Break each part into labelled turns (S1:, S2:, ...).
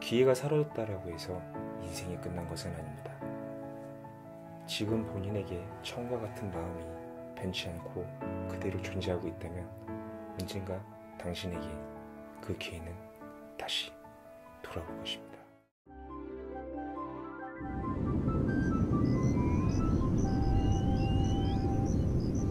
S1: 기회가 사라졌다라고
S2: 해서 인생이 끝난 것은 아닙니다. 지금 본인에게
S1: 처음과 같은 마음이 변치 않고 그대로 존재하고 있다면 언젠가 당신에게 그 기회는 다시 돌아올 것입니다.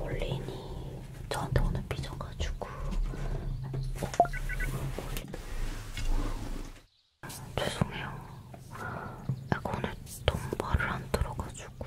S1: 올린이 저한테 오늘 삐져가지고 아, 죄송해요. 아, 오늘 너무 말을 안 들어가지고.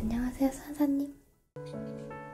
S2: 안녕하세요, 선사님.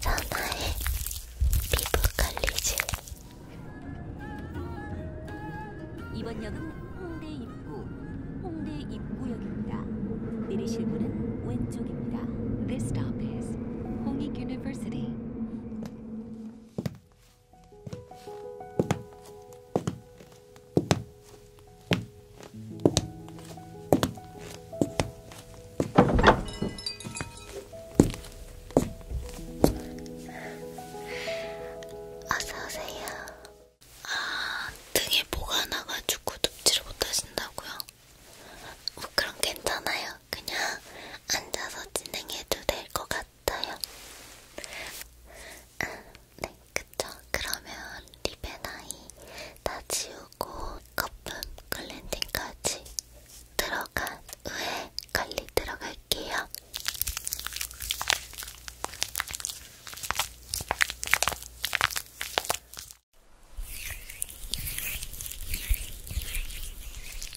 S2: 전화해 피부 관리지 이번 역은 홍대 입구 홍대 입구역입니다 내리실 문은 왼쪽입니다 This stop is 홍익 University 어서오세요. 아, 등에 뭐가 나가지고 눕지를 못하신다고요? 뭐 그럼 괜찮아요. 그냥 앉아서 진행해도 될 것 같아요. 같아요. 아, 네, 그쵸. 그러면 립의 나이 다 지우고 거품 글렌딩까지 들어간 후에 관리 들어갈게요.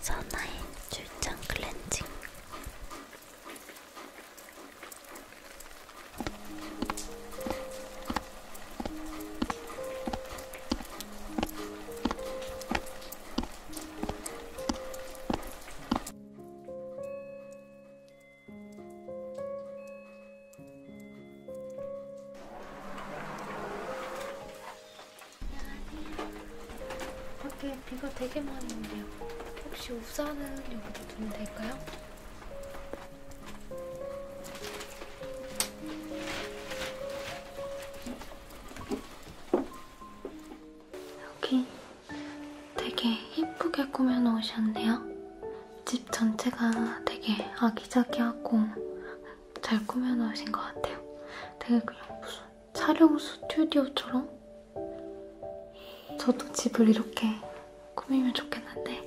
S1: 선화의 출장 클렌징
S2: 밖에 비가 되게 많이 오네요. 혹시 우산은 여기다 두면 될까요? 여기 되게 예쁘게 꾸며놓으셨네요. 집 전체가 되게 아기자기하고 잘 꾸며놓으신 것 같아요. 되게 그냥 무슨 촬영 스튜디오처럼? 저도 집을 이렇게 꾸미면 좋겠는데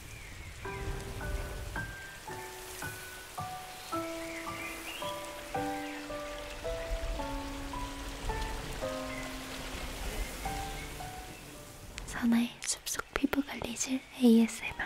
S2: 선아의 숲속 피부 관리질 ASMR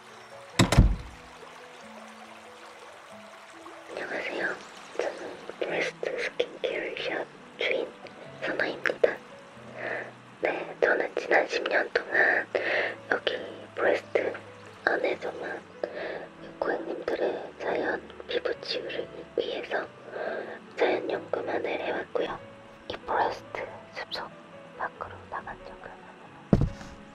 S2: 안녕하세요. 저는 웨스트 스킨케어 샵 주인 선아입니다. 네, 저는 지난 10년 동안 여기 브레스트 안에서만 고객님들의 자연 피부 치유를 위해서 자연 연구만을 해왔고요. 이 브레스트 숲속 밖으로 나간 적은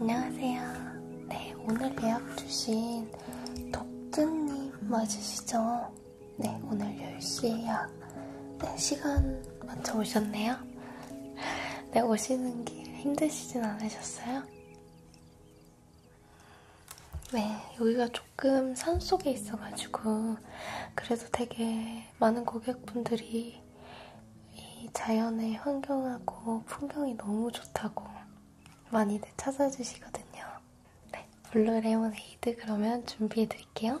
S2: 안녕하세요. 네, 오늘 예약 주신 독트님 맞으시죠? 네, 오늘 10시 예약. 네, 시간 맞춰 오셨네요. 네, 오시는 길 힘드시진 않으셨어요? 네, 여기가 조금 산 속에 있어가지고, 그래도 되게 많은 고객분들이 이 자연의 환경하고 풍경이 너무 좋다고 많이들 찾아주시거든요. 네, 블루 레몬에이드 그러면 준비해 드릴게요.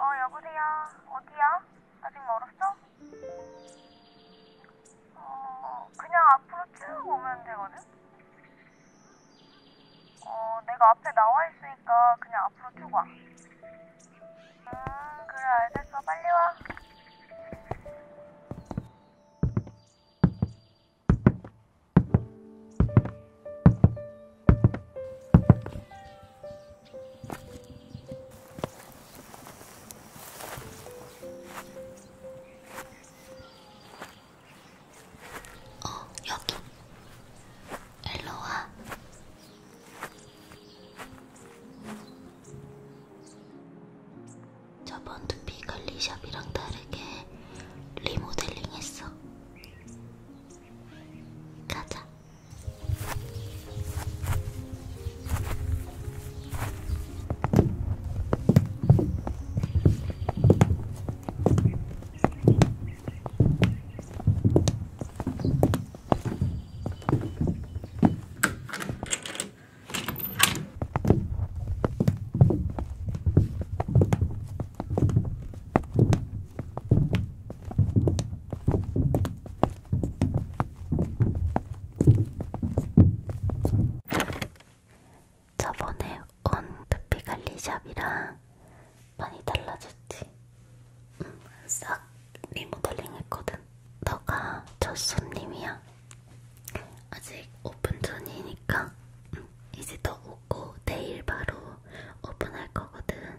S2: 어, 여보세요. 어디야? 아직 멀었어? 어, 그냥 앞으로 쭉 오면 되거든? 어, 내가 앞에 나와 있으니까 그냥 앞으로 쭉 와. 음, 그래 알겠어. 빨리 와. 어, 여기. 일로 와. 저번 두피 관리샵이랑 다르게 리모델링 했어. 가자. 저번에 온 두피 관리샵이랑 많이 달라졌지? 음, 싹 리모델링 했거든. 너가 첫 손님이야. 아직 오픈 전이니까 응. 음, 이제 너 오고 내일 바로 오픈할 거거든.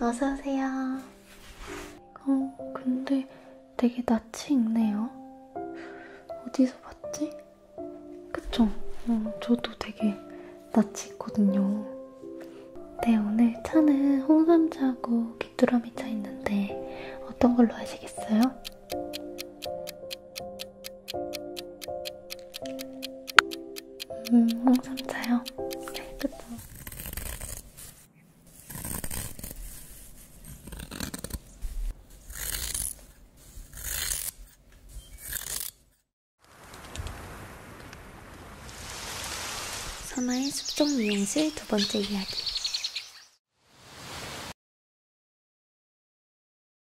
S1: 어서오세요. 어, 근데 되게
S2: 낯이 익네요. 어디서 봤지? 그쵸? 어, 저도 되게 낯이 있거든요. 네, 오늘 차는 홍삼차하고 귀뚜라미 차 있는데 어떤 걸로 하시겠어요? 음, 홍삼차요? 어, 네, 그쵸.
S1: 서마의 숲속 미용실 두 번째 이야기.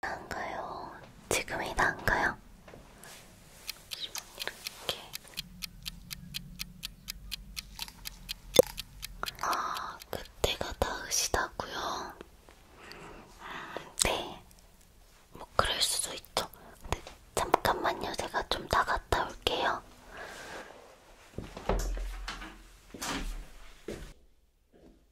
S2: 나은가요? 지금이 나은가요? 이렇게 아 그때가 나으시다고요? 음, 네, 뭐
S1: 그럴 수도 있죠. 근데 잠깐만요, 제가 좀 나갔다 올게요.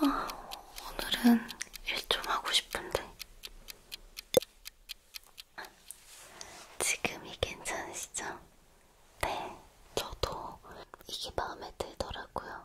S2: 아, 오늘은 일 좀 하고 싶은데. 지금이 괜찮으시죠? 네, 저도 이게 마음에 들더라고요.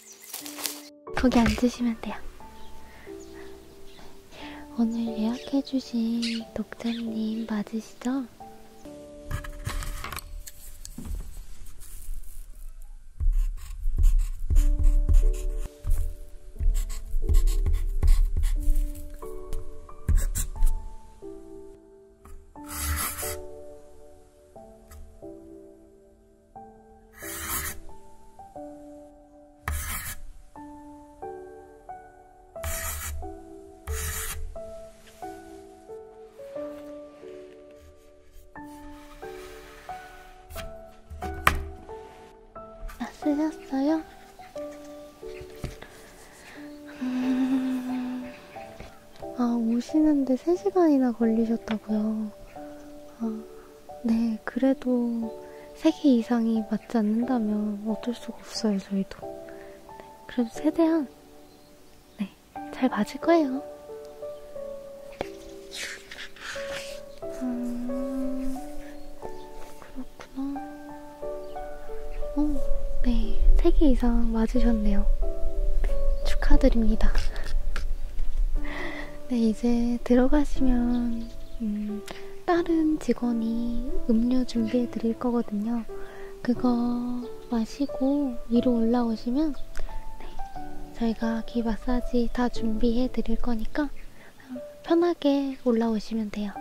S2: 거기 앉으시면 돼요. 오늘 예약해주신 독자님 맞으시죠? 다 아, 쓰셨어요? 음... 아, 오시는데 3시간이나 걸리셨다고요. 아. 네, 그래도 3개 이상이 맞지 않는다면 어쩔 수가 없어요, 저희도. 네, 그래도 최대한, 네, 잘 맞을 거예요. 음, 그렇구나. 어, 네, 3개 이상 맞으셨네요. 축하드립니다. 네, 이제 들어가시면 음, 다른 직원이 음료 준비해 드릴 거거든요. 그거 마시고 위로 올라오시면 네, 저희가 귀 마사지 다 준비해 드릴 거니까 편하게 올라오시면 돼요.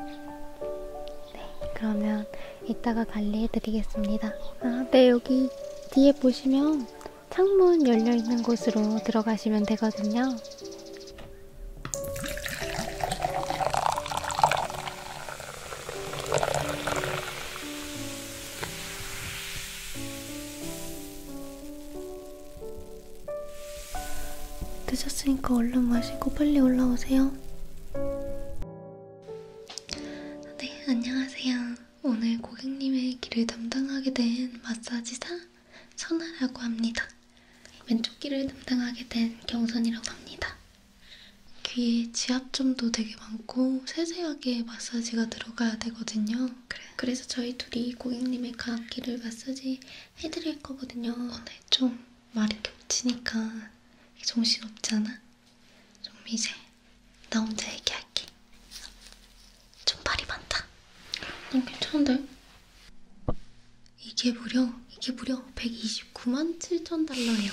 S2: 네, 그러면 이따가 관리해 드리겠습니다. 아, 네, 여기 뒤에 보시면 창문 열려 있는 곳으로 들어가시면 되거든요. 늦었으니까 얼른 마시고 빨리 올라오세요. 네, 안녕하세요. 오늘 고객님의 길을 담당하게 된 마사지사 선아라고 합니다. 왼쪽 귀를 담당하게 된 경선이라고 합니다. 귀에 지압점도 되게 많고 세세하게 마사지가 들어가야 되거든요. 그래. 그래서 저희 둘이 고객님의 가악기를 마사지 해드릴 거거든요. 오늘 어, 네. 좀 말이 겹치니까 정신없잖아? 좀 이제 나 혼자 얘기할게. 좀 발이 많다. 난 괜찮은데? 이게 무려, 이게 무려 129만 7천 달러예요.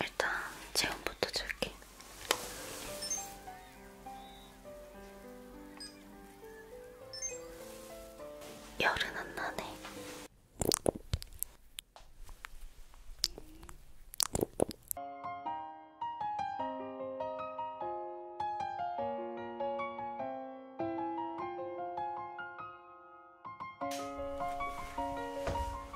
S2: 일단 체온부터 줄게. 열은 안 나네.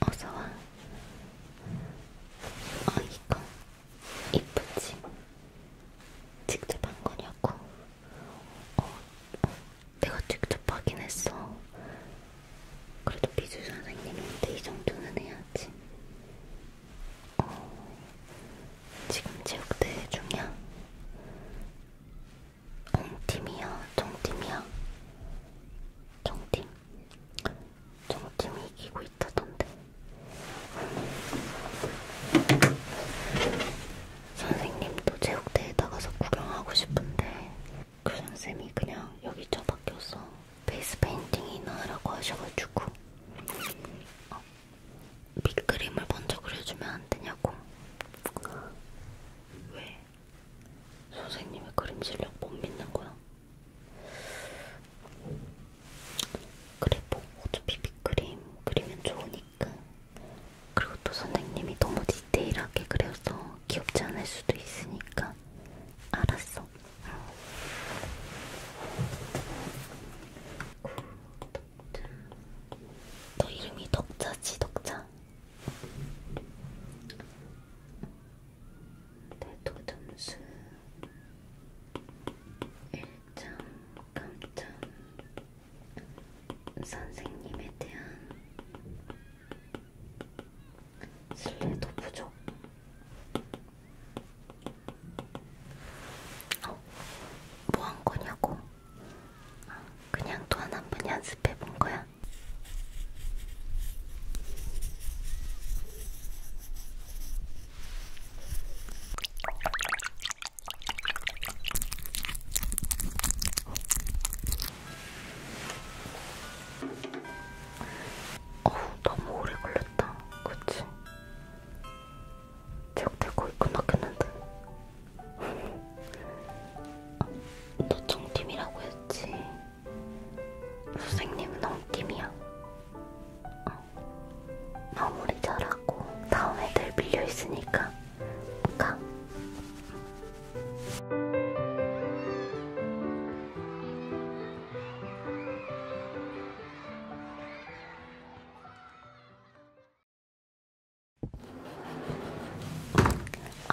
S2: 어서와. 어, 이거 이쁘지? 직접 한 거냐고? 어, 어, 내가 직접 확인했어. 그래도 미술 선생님인데 이 정도는 해야지. 어, 지금 체육대회 중이야? 엉팀이야? 정팀이야? 정팀? 정팀이 이기고 있다던데. 선생님도 체육대회 나가서 구경하고 싶은데 교장쌤이 그 그냥 여기 처박혀서 베이스 페인팅이나 하라고 하셔가지고 어, 밑그림을 먼저 그려주면 안 되냐고 왜? 선생님의 그림 실력 못 믿는 거야? 그래 뭐 어차피 밑그림 그리면 좋으니까 있게끔 그리고 또 선생님이 너무 디테일하게 그려서 귀엽지 않을 수도 있으니까 알았어 너 이름이 덕자지 덕자 내도 점수 1점
S1: 깜짝 선생님에 대한 신뢰도 부족. 어, 뭐한 거냐고? 그냥 또한한 번 연습해 본 거야.
S2: 어우 너무 오래 걸렸다 그치? 제가 거의 끝났겠는데? 아, 너 정팀이라고 했지? 선생님은 엉팀이야 어. 마무리 잘하고 다음에 늘 밀려있으니까 가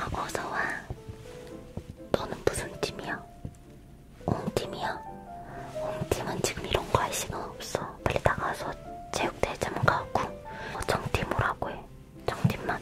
S2: 어, 어서와. 너는 무슨 팀이야? 홈팀이야? 홈팀은 지금 이런 거 할 시간 없어. 빨리 나가서 체육대회 좀 가고. 어, 정팀으로 하고 해. 정팀만.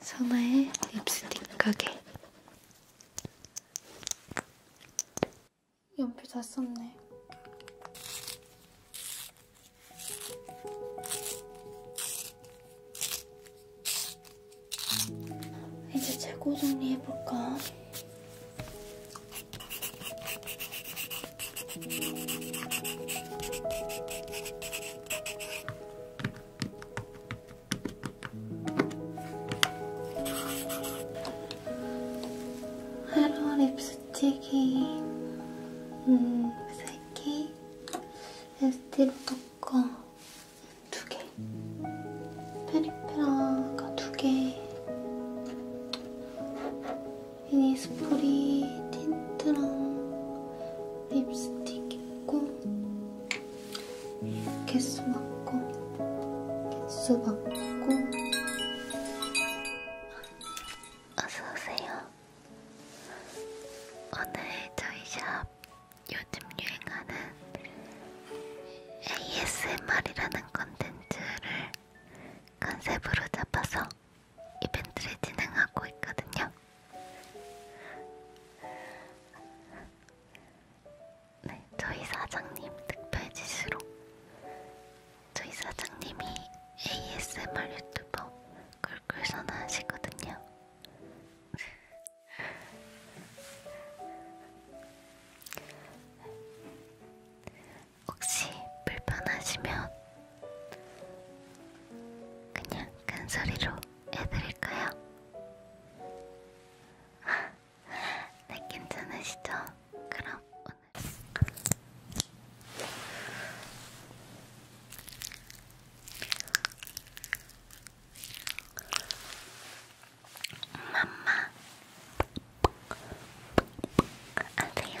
S2: 선아의 립스틱 가게 연필 다 썼네. 이제 재고 정리해볼까? 헤러 립스틱이 음, 3개 에스티로 깎아 2개 페리페라가 2개 미니스프리 틴트랑 립스틱 입고 개수 맞고 개수 맞고 어서오세요 오늘 저희 샵 요즘 유행하는 ASMR이라는 컨텐츠를 컨셉으로 잡아서 이벤트를 진행하고 있거든요. 네, 저희 사장님 특별 지시로 저희 사장님이 ASMR 유튜버 꿀꿀 선언하시거든요. 혹시 불편하시면 그냥 큰 소리로 해드릴까요? 네, 괜찮으시죠? 그럼 오늘 맘마 아세요?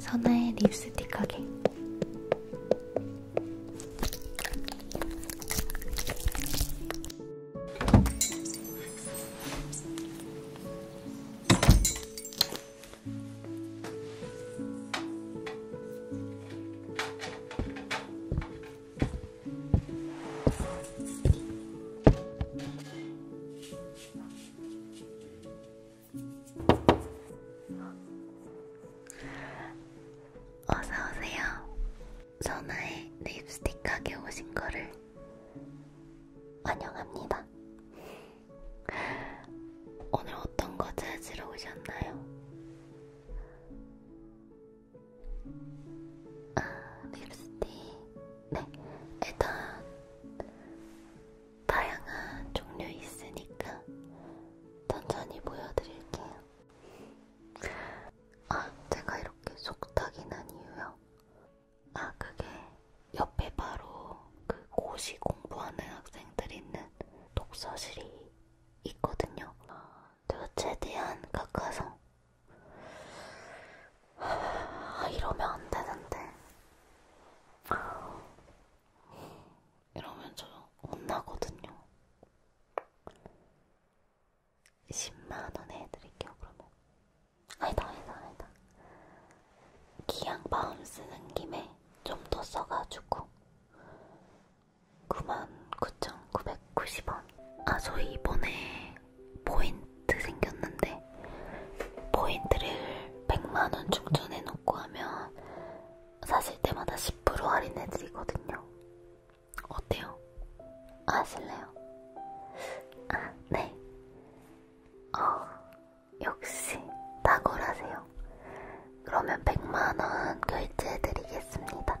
S2: 선아의 립스틱 가게 어서오세요. 선아의 립스틱 가게 오신 거를 환영합니다. 오늘 어떤 거 찾으러 오셨나요? 아, 립스틱. 네, 일단 다양한 종류 있으니까 천천히 보여드릴게요. 아, 제가 이렇게 속닥이 난 이유요? 아, 그게 옆에 바로 그 고시 공부하는 학생들이 있는 독서실이 있거든요. 제가 최대한 가까워서 아, 이러면 안 되는데 이러면 저 혼나거든요. 10만원 해드릴게요, 그러면. 아니다, 아니다, 아니다. 기왕 마음 쓰는 김에 좀 더 써가지고 99,990원 아 저 이번에 포인트 생겼는데 포인트를 100만원 충전해놓고 하면 사실 때마다 10% 할인해드리거든요. 어때요? 아실래요? 아, 네. 어, 역시 탁월하세요. 그러면 100만원 결제해드리겠습니다.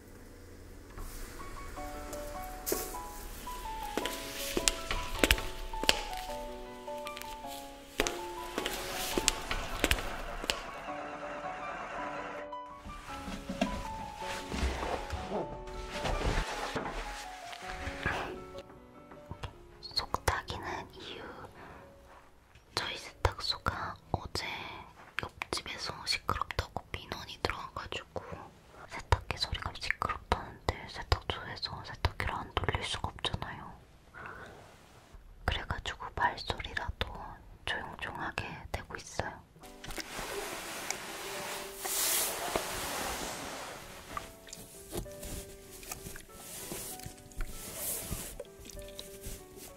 S2: 속삭이는 이유 저희 세탁소가 어제 옆집에서 시끄럽다고 민원이 들어와가지고 세탁기 소리가 시끄럽다는데 세탁소에서 세탁기를 안 돌릴 수가 없잖아요. 그래가지고 발소리라도 조용조용하게 내고 있어요.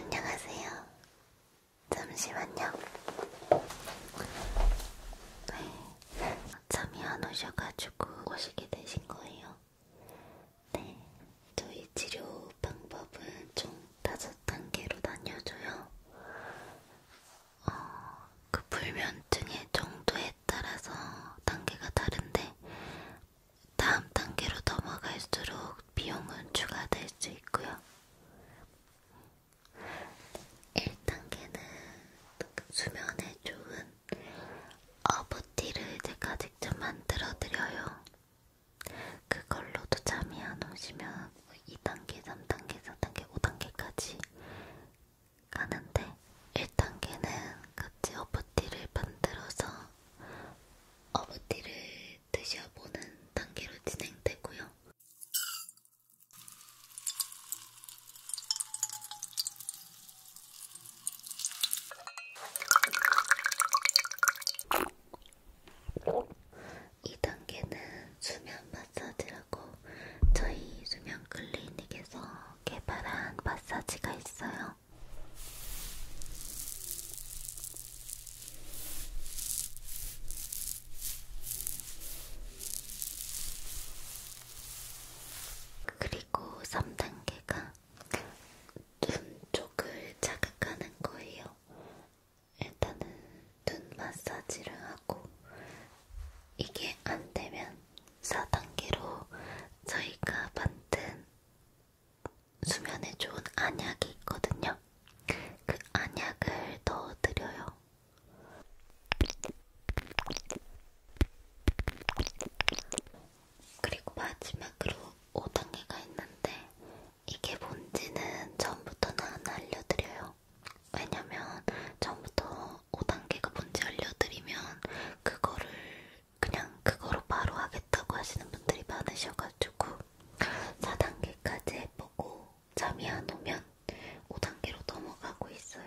S2: 안녕하세요. 잠시만요. 네. 잠이 안 오셔가지고 오시게 되신 거예요. 네. 저희 치료 방법은 총 다섯 단계로 나뉘어져요. 어, 그 불면증의 정도에 따라서 단계가 다른데 다음 단계로 넘어갈수록 비용은 추가될 수 있고요. 1단계는 수면에 좋은 어부티를 제가 직접 만들어 드려요. 그걸로도 잠이 안 오시면 2단계, 3단계, 4단계, 5단계까지 가는데 1단계는 같이 허브티를 만들어서 허브티를 드셔보는 단계로 진행되고요. 2단계는 수면 마사지라고 저희 수면 클리닉에서 개발한 마사지가 있어요. 그리고 3단계가 눈 쪽을 자극하는 거예요. 일단은 눈 마사지를 하고 이게 안 되면 4단계로 저희가 만든 수면에 좋은 안약이 있거든요. 그 안약을 넣어드려요. 그리고 마지막으로 5단계가 있는데 이게 뭔지는 전부터는 안 알려드려요. 왜냐면 처음부터 5단계가 뭔지 알려드리면 그거를 그냥 그거로 바로 하겠다고 하시는 분들이 많으셔가지고 4단계까지 해보고 잠이 안 오면 5단계로 넘어가고 있어요.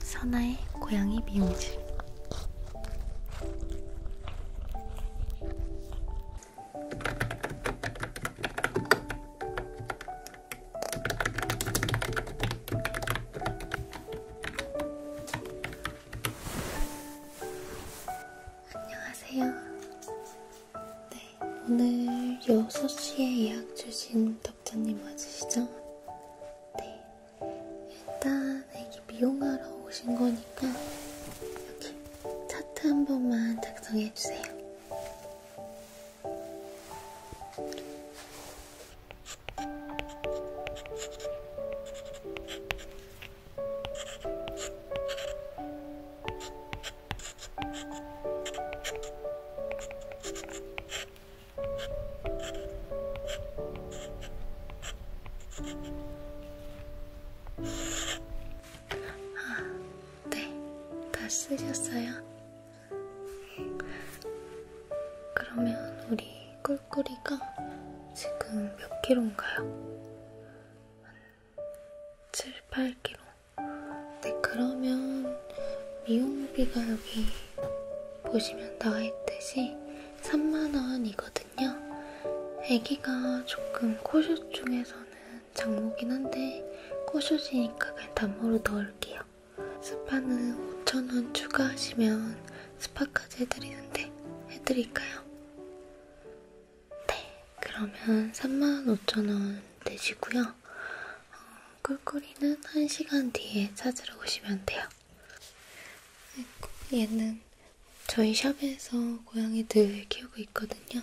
S2: 선아의 고양이 미용실 안녕하세요. 네, 오늘 6시에 예약 주신 덕자님 맞으시죠? 네, 일단 애기 미용하러 오신 거니까 여기 차트 한 번만 작성해 주세요. 아, 네, 다 쓰셨어요? 그러면 우리 꿀꿀이가 지금 몇 킬로인가요? 7, 8kg. 네, 그러면 미용비가 여기 보시면 나와있듯이 3만원이거든요. 아기가 조금 코숏 중에서는 장모긴 한데 코숏이니까 그냥 단모로 넣을게요. 스파는 5천원 추가하시면 스파까지 해드리는데 해드릴까요? 네, 그러면 35,000원 되시고요. 어, 꿀꿀이는 1시간 뒤에 찾으러 오시면 돼요. 아이고, 얘는 저희 샵에서 고양이들 키우고 있거든요.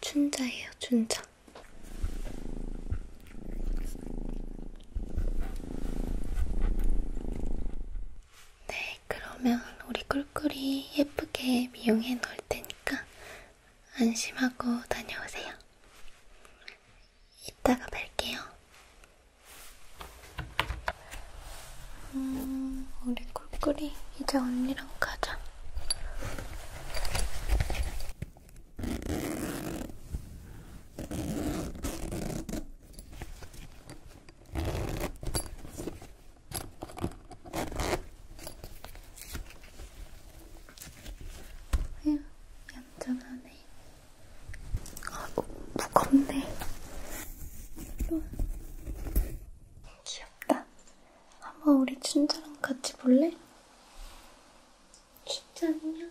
S2: 춘자예요, 춘자. 네, 그러면 우리 꿀꿀이 예쁘게 미용해 놓을 테니까 안심하고 다녀오세요. 이따가 뵐게요. 음, 우리 꿀꿀이 이제 언니랑 가자. 아휴, 얌전하네. 아, 너무 무겁네. 귀엽다. 한번 우리 춘자랑 같이 볼래? 춘자 안녕.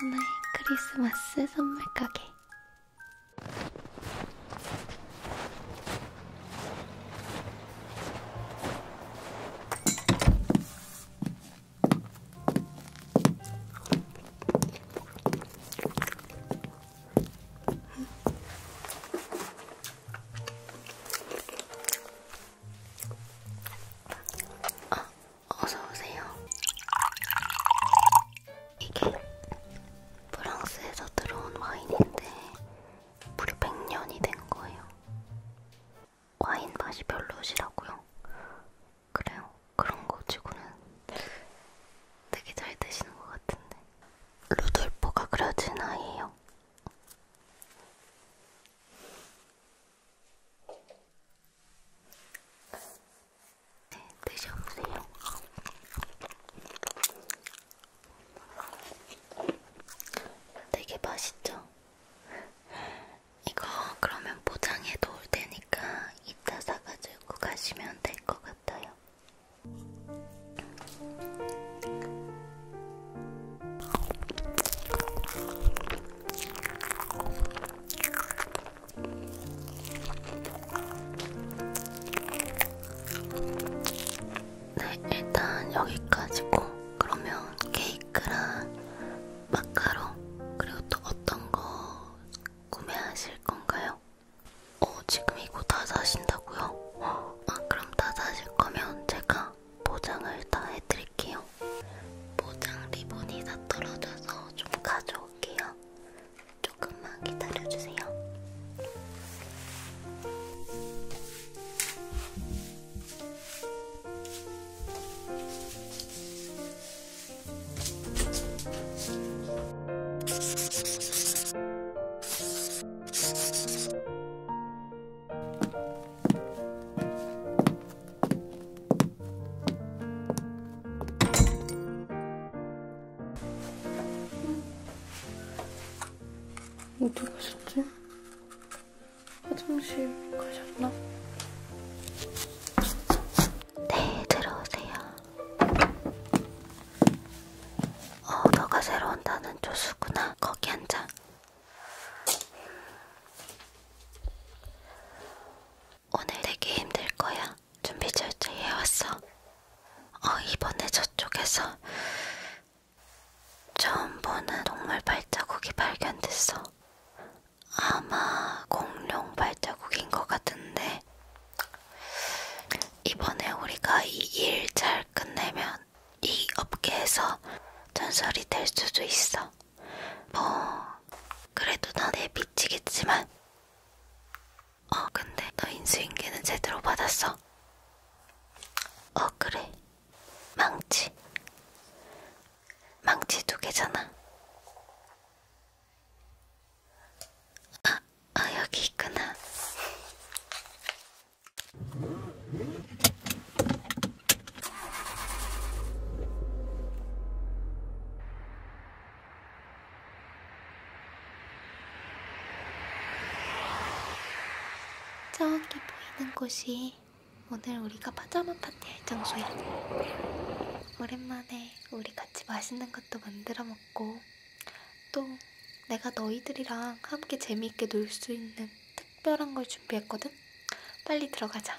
S2: 선우의 크리스마스 선물 가게. 아, 어서오세요. 이게 프랑스에서 들어온 와인인데 무려 100년이 된 거예요. 와인 맛이 별로시라고요? 그래요. 그런 거 치고는 되게 잘 드시는 것 같은데. 루돌포가 그려진 아이예요. 네, 드셔보세요. 되게 맛있죠? 이거 그러면 포장해 놓을 테니까 이따 사가지고 가시면 될 것 같아요. 네, 일단 여기까지고 그러면 케이크랑 마카롱 그리고 또 어떤 거 구매하실 건가요? 어, 지금 이거 다 사신다고요? 아, 그럼 다 사실 거면 제가 보장을 다 해드릴게요. 포장 리본이 다 떨어져서 좀 가져올게요. 조금만 기다려주세요.
S1: 어디 뭐 가셨지? 화장실 가셨나?
S2: 네, 들어오세요. 어, 너가 새로 온다는 조수구나. 거기 앉아. 오늘 되게 힘들 거야. 준비 철저히 해왔어. 어, 이번에 저쪽에서 처음 보는 동물 발자국이 발견됐어. 아마 공룡 발자국인 것 같은데, 이번에 우리가 이 일 잘 끝내면 이 업계에서 전설이 될 수도 있어. 뭐 그래도 나에 미치겠지만 어 근데 너 인수인계는 제대로 받았어? 어 그래 망치 망치 두 개잖아 아, 아 여기 있구나 저기 보이는 곳이 오늘 우리가 파자마 파티할 장소야. 오랜만에 우리 같이 맛있는 것도 만들어 먹고 또 내가 너희들이랑 함께 재미있게 놀 수 있는 특별한 걸 준비했거든? 빨리 들어가자.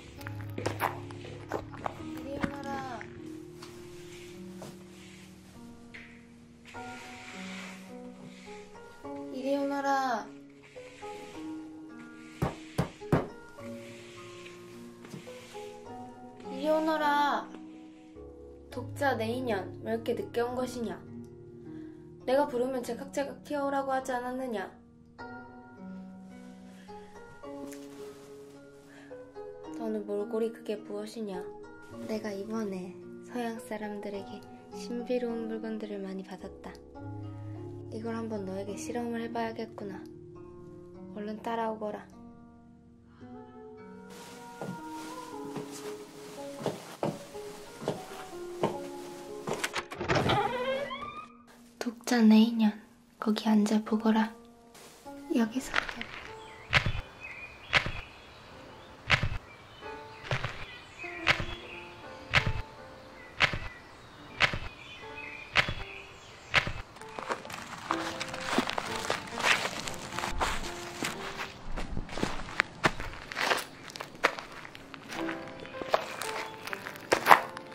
S2: 이리 오너라 이리 오너라 독자 내 인연 왜 이렇게 늦게 온 것이냐 내가 부르면 제각제각 튀어오라고 하지 않았느냐 너는 몰골이 그게 무엇이냐? 내가 이번에 서양 사람들에게 신비로운 물건들을 많이 받았다. 이걸 한번 너에게 실험을 해봐야겠구나. 얼른 따라오거라. 독자 내인년 거기 앉아 보거라. 여기서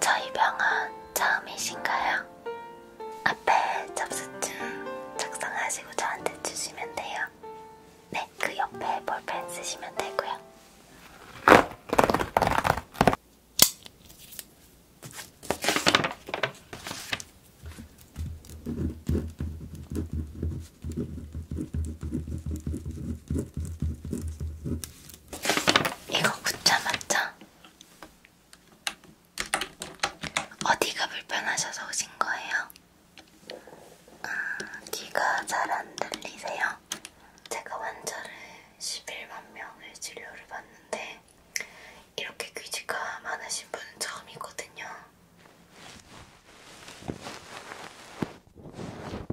S2: 저희 병원 처음이신가요? 앞에 접수증 작성하시고 저한테 주시면 돼요. 네, 그 옆에 볼펜 쓰시면 되고요. 이거 붙여맞자 어디가 불편하셔서 오신 거예요? 아, 귀가 잘 안 들리세요? 제가 환자를 11만 명을 진료를 받는데 이렇게 귀지가 많으신 분은 처음이거든요.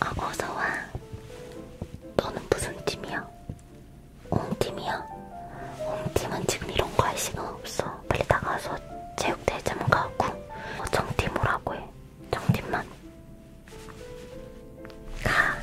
S2: 아, 어서 와. 너는 무슨 팀이야? 홈팀이야? 홈팀은 지금 이런 거 할 시간 없어. 어, 빨리 나가서 체육대회좀 가고 어, 뭐 정팀 오라고 해 정팀만 가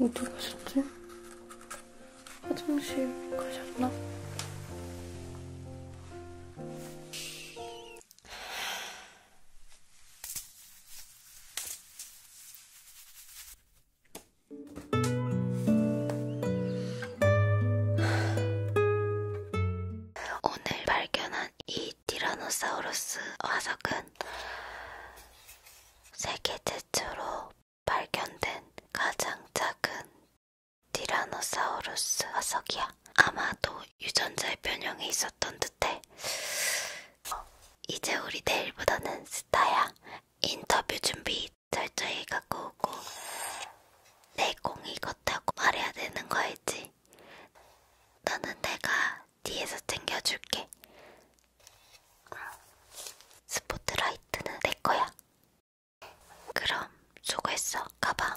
S2: 어디 가셨지? 화장실 가셨나? 오늘 발견한 이 티라노사우루스 화석은 세계 최초로 발견된 가장 작은 티라노사우루스 화석이야. 아마도 유전자의 변형이 있었던 듯해. 이제 우리 내일보다는 스타야. 인터뷰 준비 철저히 갖고 오고 내 공이 걷다고 말해야 되는 거 알지? 너는 내가 뒤에서 챙겨줄게. 스포트라이트는 내 거야. 그럼 수고했어, 가방.